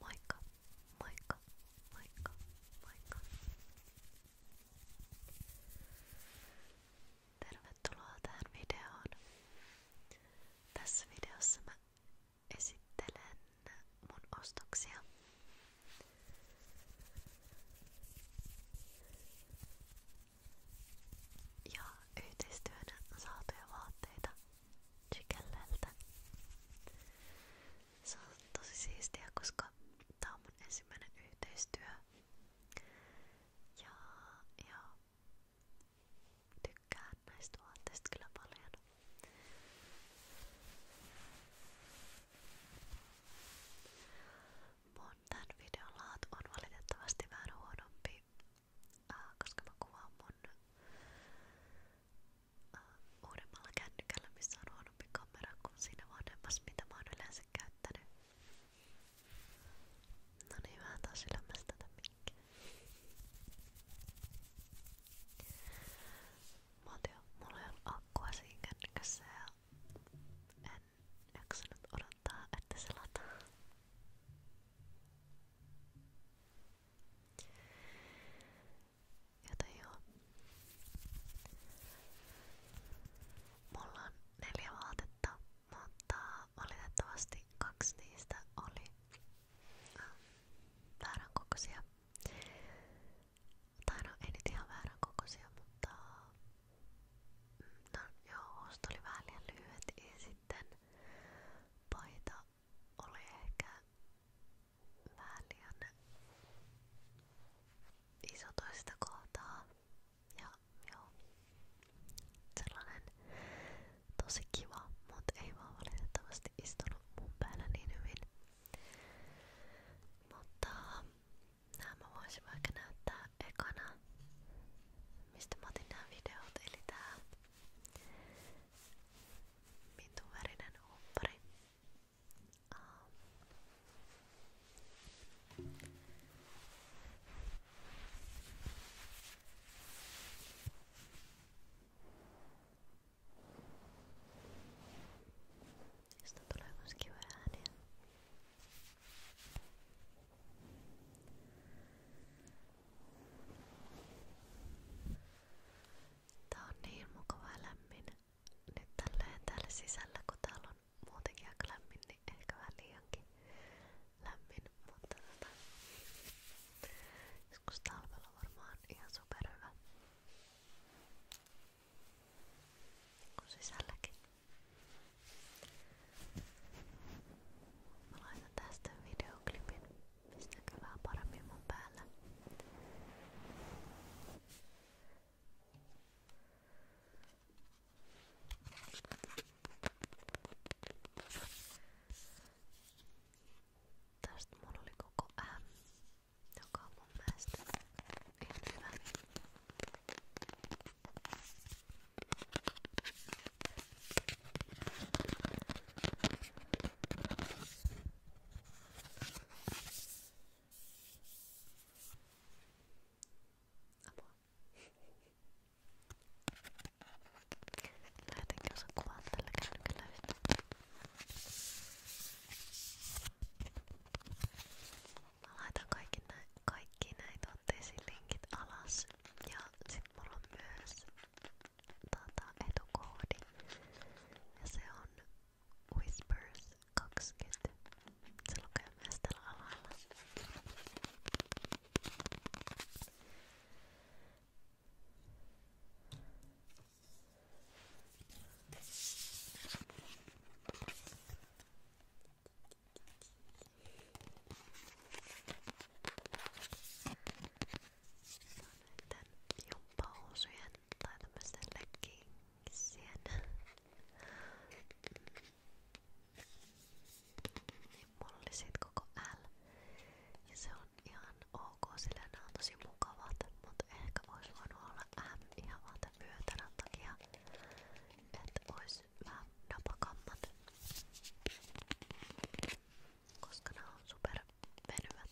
Moikka, moikka, moikka, moikka. Tervetuloa tähän videoon. Tässä videossa mä esittelen mun ostoksia. Ja yhteistyönä saatuja vaatteita Tykälältä. Se on tosi siistiä, koska tää on mun ensimmäinen yhteistyö. Ja, ja tykkään näistä vaatteista kyllä paljon. Mun tämän videon laatu on valitettavasti vähän huonompi äh, koska mä kuvaan mun äh, uudemmalla kännykällä, missä on huonompi kamera kuin siinä vanhemmassa, mitä mä oon yleensä käyttänyt. No niin, vähän taas ylemmäs tätä mikkiä. Matio, mulla ei ollut akkua siinä kännykässä ja en jaksanut odottaa, että se lataa. Joten joo. Mulla on neljä vaatetta, mutta valitettavasti kaksi niistä oli ähm, väärän kokoisia. Tai no ei nyt ihan väärän kokoisia, mutta mm, no joo, housut oli vähän liian lyhyet ja sitten paita oli ehkä vähän liian iso toista kohtaa ja joo, sellainen tosi kiva, mutta ei vaan valitettavasti istunut mun päällä niin hyvin. Mutta nämä mä voisin vaikka näyttää ekana, mistä mä otin nämä videot, eli tää Vitun värinen huppari. Um. Tästä tulee myös kiva ääniä. Tää on niin mukava lämmin. Nyt tälleen täällä sisällä, kun täällä on muutenkin aika lämmin, niin ehkä vähän liiankin lämmin, mutta tota, joskus talvella varmaan ihan superhyvä. Kun sisälläkin. Mä laitan tästä videoklipin, mistä näkyy vähän paremmin mun päällä. Tästä mulla oli koko M, joka on mun mielestä ihan hyvä. Mä jotenkin osaan kuvaa tällä kännykällä yhtään. Mä laitan kaikki näin kaikki näitä tuotteisiin linkit alas. Ja sit mulla on myös tata, etukoodi. Ja se on Whispers 20. Se lukee myös tällä alalla näiden jumppahousujen tai tämmöisten lekkiksien niin mulla oli siitä koko L ja se on ihan ok, sillä nämä on tosi mukavat mutta ehkä olisi voinut olla M ihan vaan tämän myötärän takia että ois myös vähän napakammat, koska nämä on super venyvät.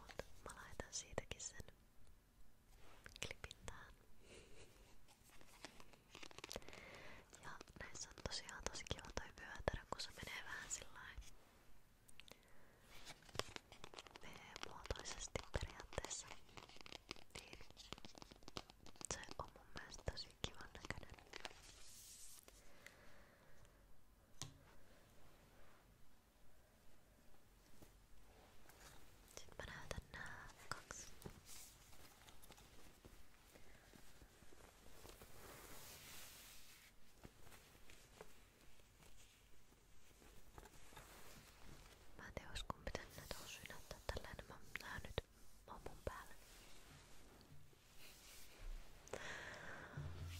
Mutta mä laitan siitäkin sen klipin tähän. Ja näissä on tosiaan tosi kiva toi vyötärö, kun se menee vähän sillain V-muotoisesti periaatteessa niin se on mun mielestä tosi kivan näköinen. Sitten mä näytän nää kaksi. Mä en tiedä olisiko miten näitä on synättää tälleen, niin mä näen nyt mamun päällä.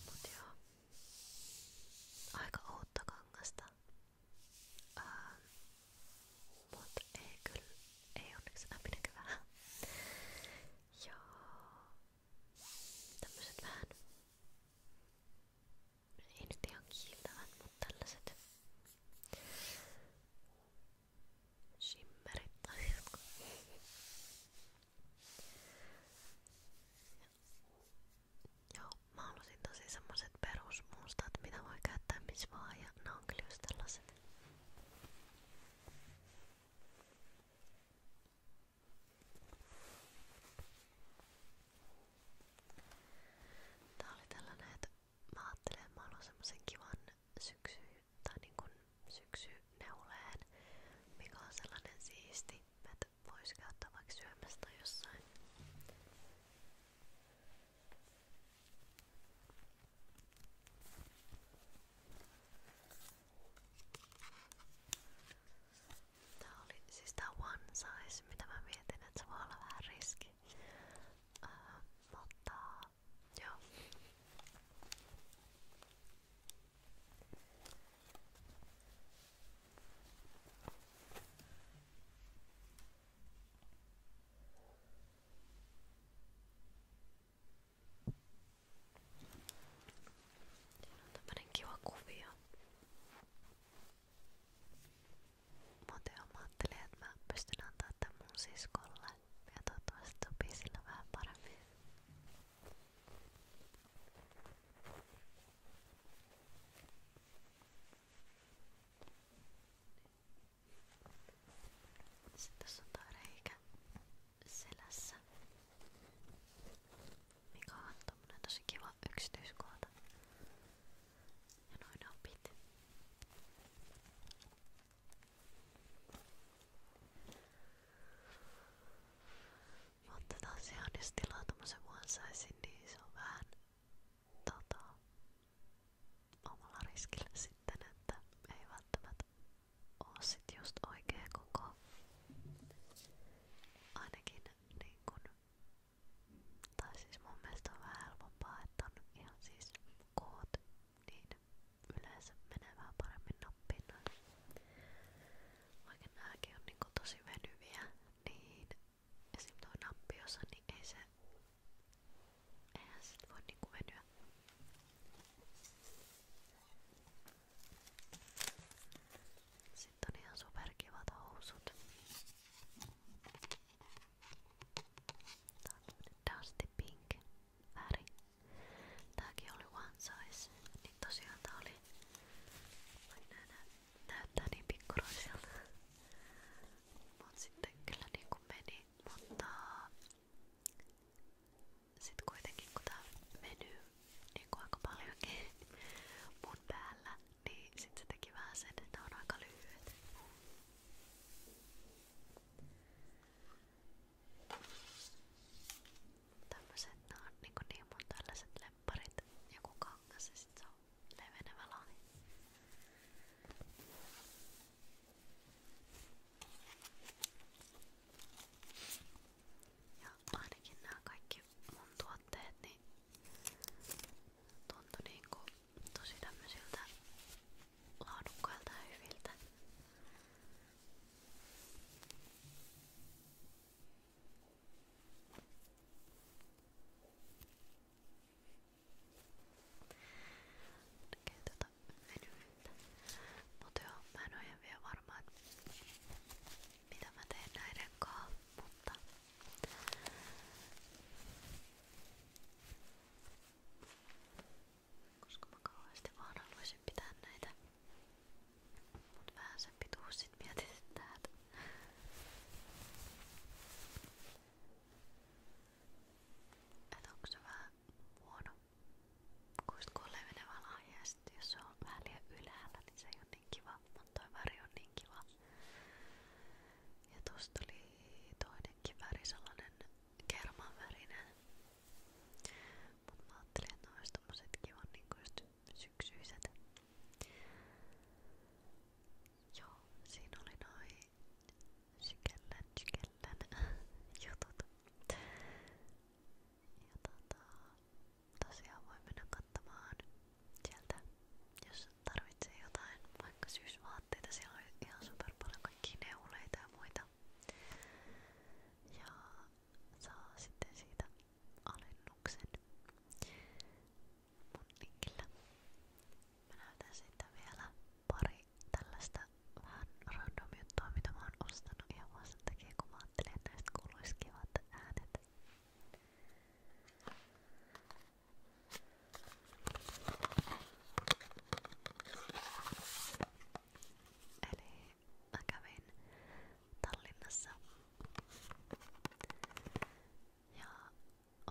Mut joo. Aika uutta kangasta. Ähm, mut ei kyllä, ei onneksi läpinäkyvää. Joo. Tämmöset vähän ei nyt ihan kiiltävät, mutta tällaiset shimmerit tai jotkut. Joo, mä halusin tosi semmoset perusmustat, mitä voi käyttää missä vaan ja ne on kyllä just tällaiset. Joo, Tää oli tällainen, että mä ajattelen, että mä haluan semmosen kivan syksy, tai niin kuin syksyneuleen, mikä on sellainen siisti, että vois käyttää vaikka syömästä jossain. Tää oli siis tää one size, mitä mä mietin, että se voi olla vähän riski. Uh, mutta joo. Siinä on tämmönen kiva kuvio. Mutta joo, mä ajattelin, että mä pystyn antaa tämän mun siskolle ja toivottavasti sopii sillä vähän paremmin. Sitten tässä on toi reikä selässä mikä on tommonen tosi kiva yksityiskohta. Ja noin opit. Mutta tosiaan jos tilaa tommosen saisin, niin se on vähän tota, omalla riskillä sitten, että ei välttämättä oo sit just oikea koko. Ainakin niin kun tai siis mun mielestä on vähän helpompaa, että on ihan siis koot, niin yleensä menee vähän paremmin nappiin noin. Vaikka nääkin on niinku tosi venyviä, niin esim. toi nappiosa, niin ei se, eihän sit voi niinku venyä sitten on ihan superkivat housut. Tää on dusty pink väri. Tääkin oli one size. Niin tosiaan tää oli... Voi nää näyttää niin pikkuroisilta. Mut sitten kyllä niinku meni, mutta... Sitten kuitenkin kun tää menu niinku aika paljonkin mun päällä, niin sit se teki vähän sen, että on aika lyhyet. Tämmöset, nää on niinku niin mun tällaiset lepparit, joku kangas ja sit se on levenevä lahi. Ja ainakin nämä kaikki mun tuotteet, niin tuntui niinku tosi tämmöisiltä laadukkailta ja hyviltä. Tekee tota venyvyyttä. Mut joo, mä en oo ihan vielä varma, että mitä mä teen näiden kanssa, mutta koska mä kauheasti vaan haluaisin pitää näitä mut vähän sen pituus sit mietityttää että et onko se vähän huono kun sit kun on levenevä lahja ja sit jos se on vähän liian ylhäällä niin se ei oo niin kiva mutta toi väri on niin kiva. Ja tosta oli toinenkin väri, sellainen kermanvärinen. Mut mä ajattelin, että ne olis tommoset kivan niinku just syksyiset. Joo, siinä oli noin sykellän sykellän jutut. Ja tota, tosiaan voi mennä katsomaan sieltä, jos tarvitsee jotain, vaikka syysvaatteita, siellä on ihan super paljon kaikkia neuleita ja muita. Ja saa sitten siitä alennuksen mun linkillä. Mä näytän sitten vielä pari tällaista vähän random juttua, mitä mä oon ostanut ihan vaan sen takia, kun mä ajattelin, että näistä kuuluisi kivat äänet. Eli mä kävin Tallinnassa ja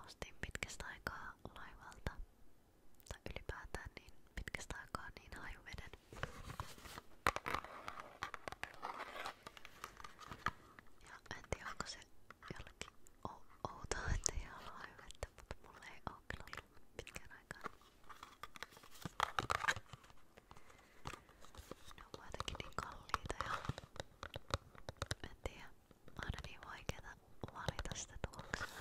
ostin pitkästä aikaa laivalta tai ylipäätään niin pitkästä aikaa niin hajuveden. Ja en tiedä onko se jollekin outoa, ettei halua yhdettä, mutta mulle ei oo kyllä ollut pitkään aikaan. Ne on kuitenkin niin kalliita ja en tiedä, aina niin vaikeeta valita sitä tuloksena.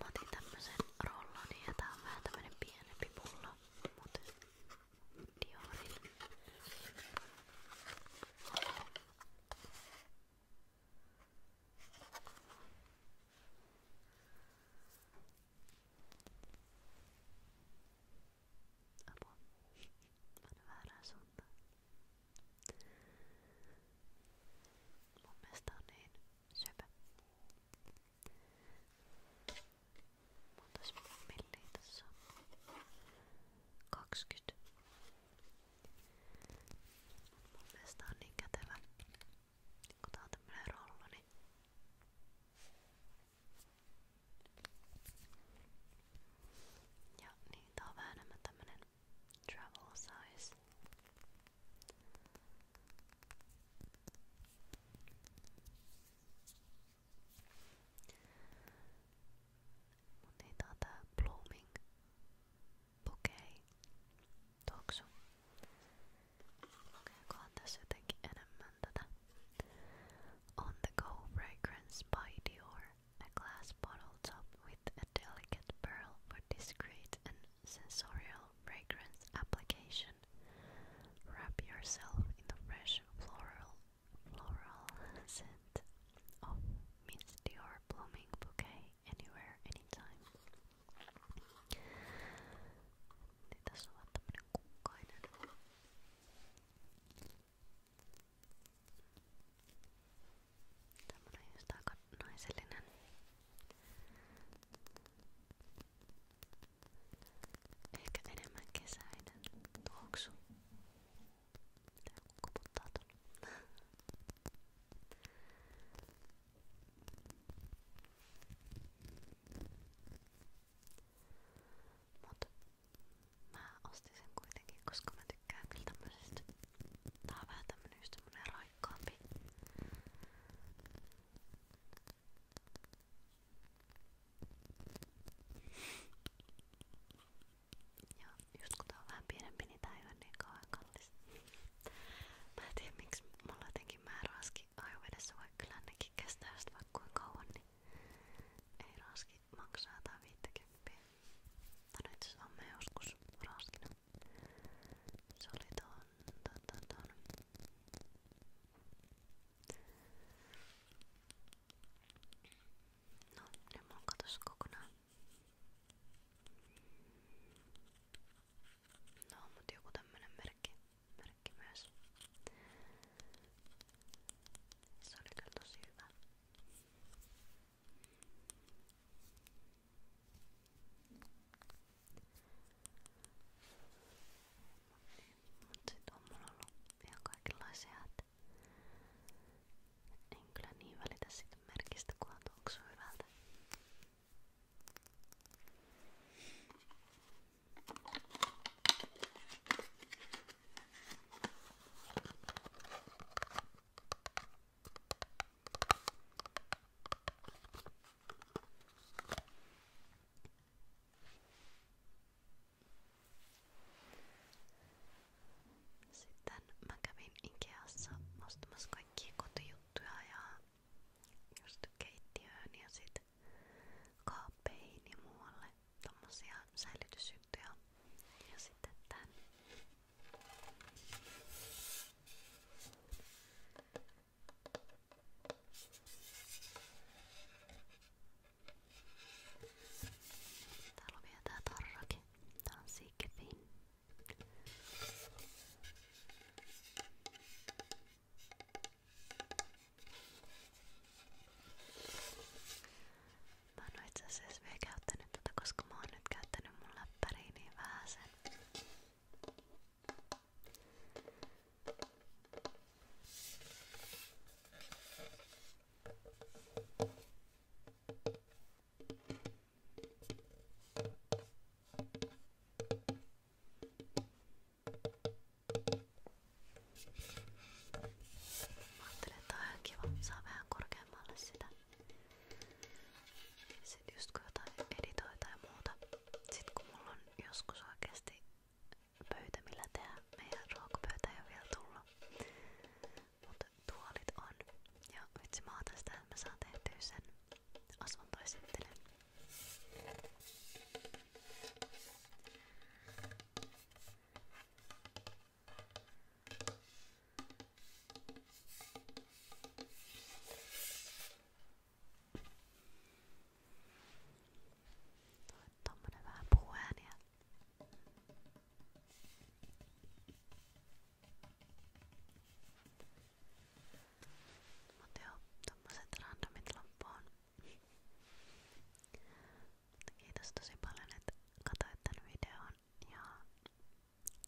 Mä otin tämmösen rolloni ja tää on vähän tämmönen pienempi pullo, mut Diorin. Apua. Mä oon väärää suuntaan. Mun mielestä on niin syvä. Montas milliä tässä on? 20. Mun mielestä on niin kätevä. Niin kun tää on tämmönen rollo, niin ja niin, tää on vähän enemmän tämmönen travel size. Otetaan tää Blooming Bouquet tuoksu. Kokeekohan tässä jotenkin enemmän tätä On The Go Fragrance by Dior a glass bottle top with a delicate pearl for discreet and sensorial fragrance application. Wrap yourself in the fresh floral floral scent of misty or blooming bouquet anywhere, anytime. Tämmönen just aika naisellinen. Ehkä enemmän kesäinen tuoksu. Tää koputtaa ton. Mut Mä ostin sen kuitenkin, koska mä tykkään kyllä tämmöisestä. Tää on vähän tämmönen just semmonen raikkaampi. Ja just kun tää on vähän pienempi, niin tää ei ole niin kauhean kallis. Mä en tiedä miksi mulla jotenkin mä raski ajovedessä, vaikka kyllä nekin kestää just vaikka kuinka kauan, niin ei raski maksaa tai 50 No nyt saamme joskus raskin. Se oli ton, ton, ton, ton. No, ne mä oon katossa kokonaan. No, mut joku tämmönen merkki, merkki myös. Se oli kyllä tosi hyvä. Mutta sit on mulla ollut vielä kaikenlaisia, että en kyllä niin välitä siitä merkistä, kunhan tuoksuu hyvältä. Sitten mä kävin Ikeassa ostamassa kaikkia kotijuttuja ja just keittiöön ja sit kaappeihin ja muualle tommosia säilytysjuttuja. Ja sitten tän. Täällä on vielä tää tarrakin. Tää on Siegfin. Mä en oo itse asiassa vielä käyttänyt tätä, koska mä oon nyt käyttänyt mun läppäriä niin vähäsen. Mä Mä ajattelin, että on ihan kiva, saa vähän korkeammalle sitä. Sitten just kun jotain editoi tai muuta. Sitten kun mulla on joskus oikeasti pöytä millä tehdään, meidän ruokapöytä ei ole vielä tullut. Mutta tuolit on. Ja vitsi mä otan sitä, että mä saan tehtyä sen asuntoesittelyn. Tommonen vähän puuääniä. Mut joo, tommoset randomit loppuun. Kiitos tosi paljon, että katsoit tämän videon ja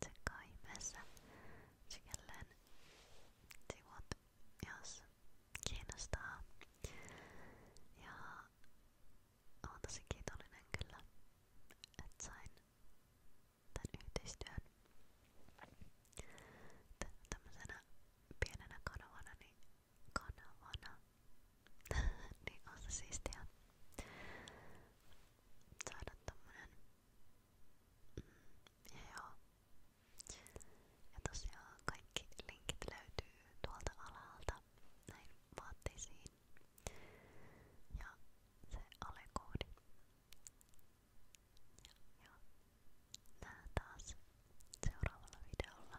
tsekkaa ihmeessä Tsekellen sivut, jos kiinnostaa. Ja olen tosi kiitollinen kyllä, että sain tämän yhteistyön tämmöisenä pienenä kanavana, niin kanavana. niin on se siistiä saada tommonen. Mm, ja joo. Ja tosiaan kaikki linkit löytyy tuolta alalta näin vaatteisiin. Ja se alekoodi. Ja, ja nää taas seuraavalla videolla.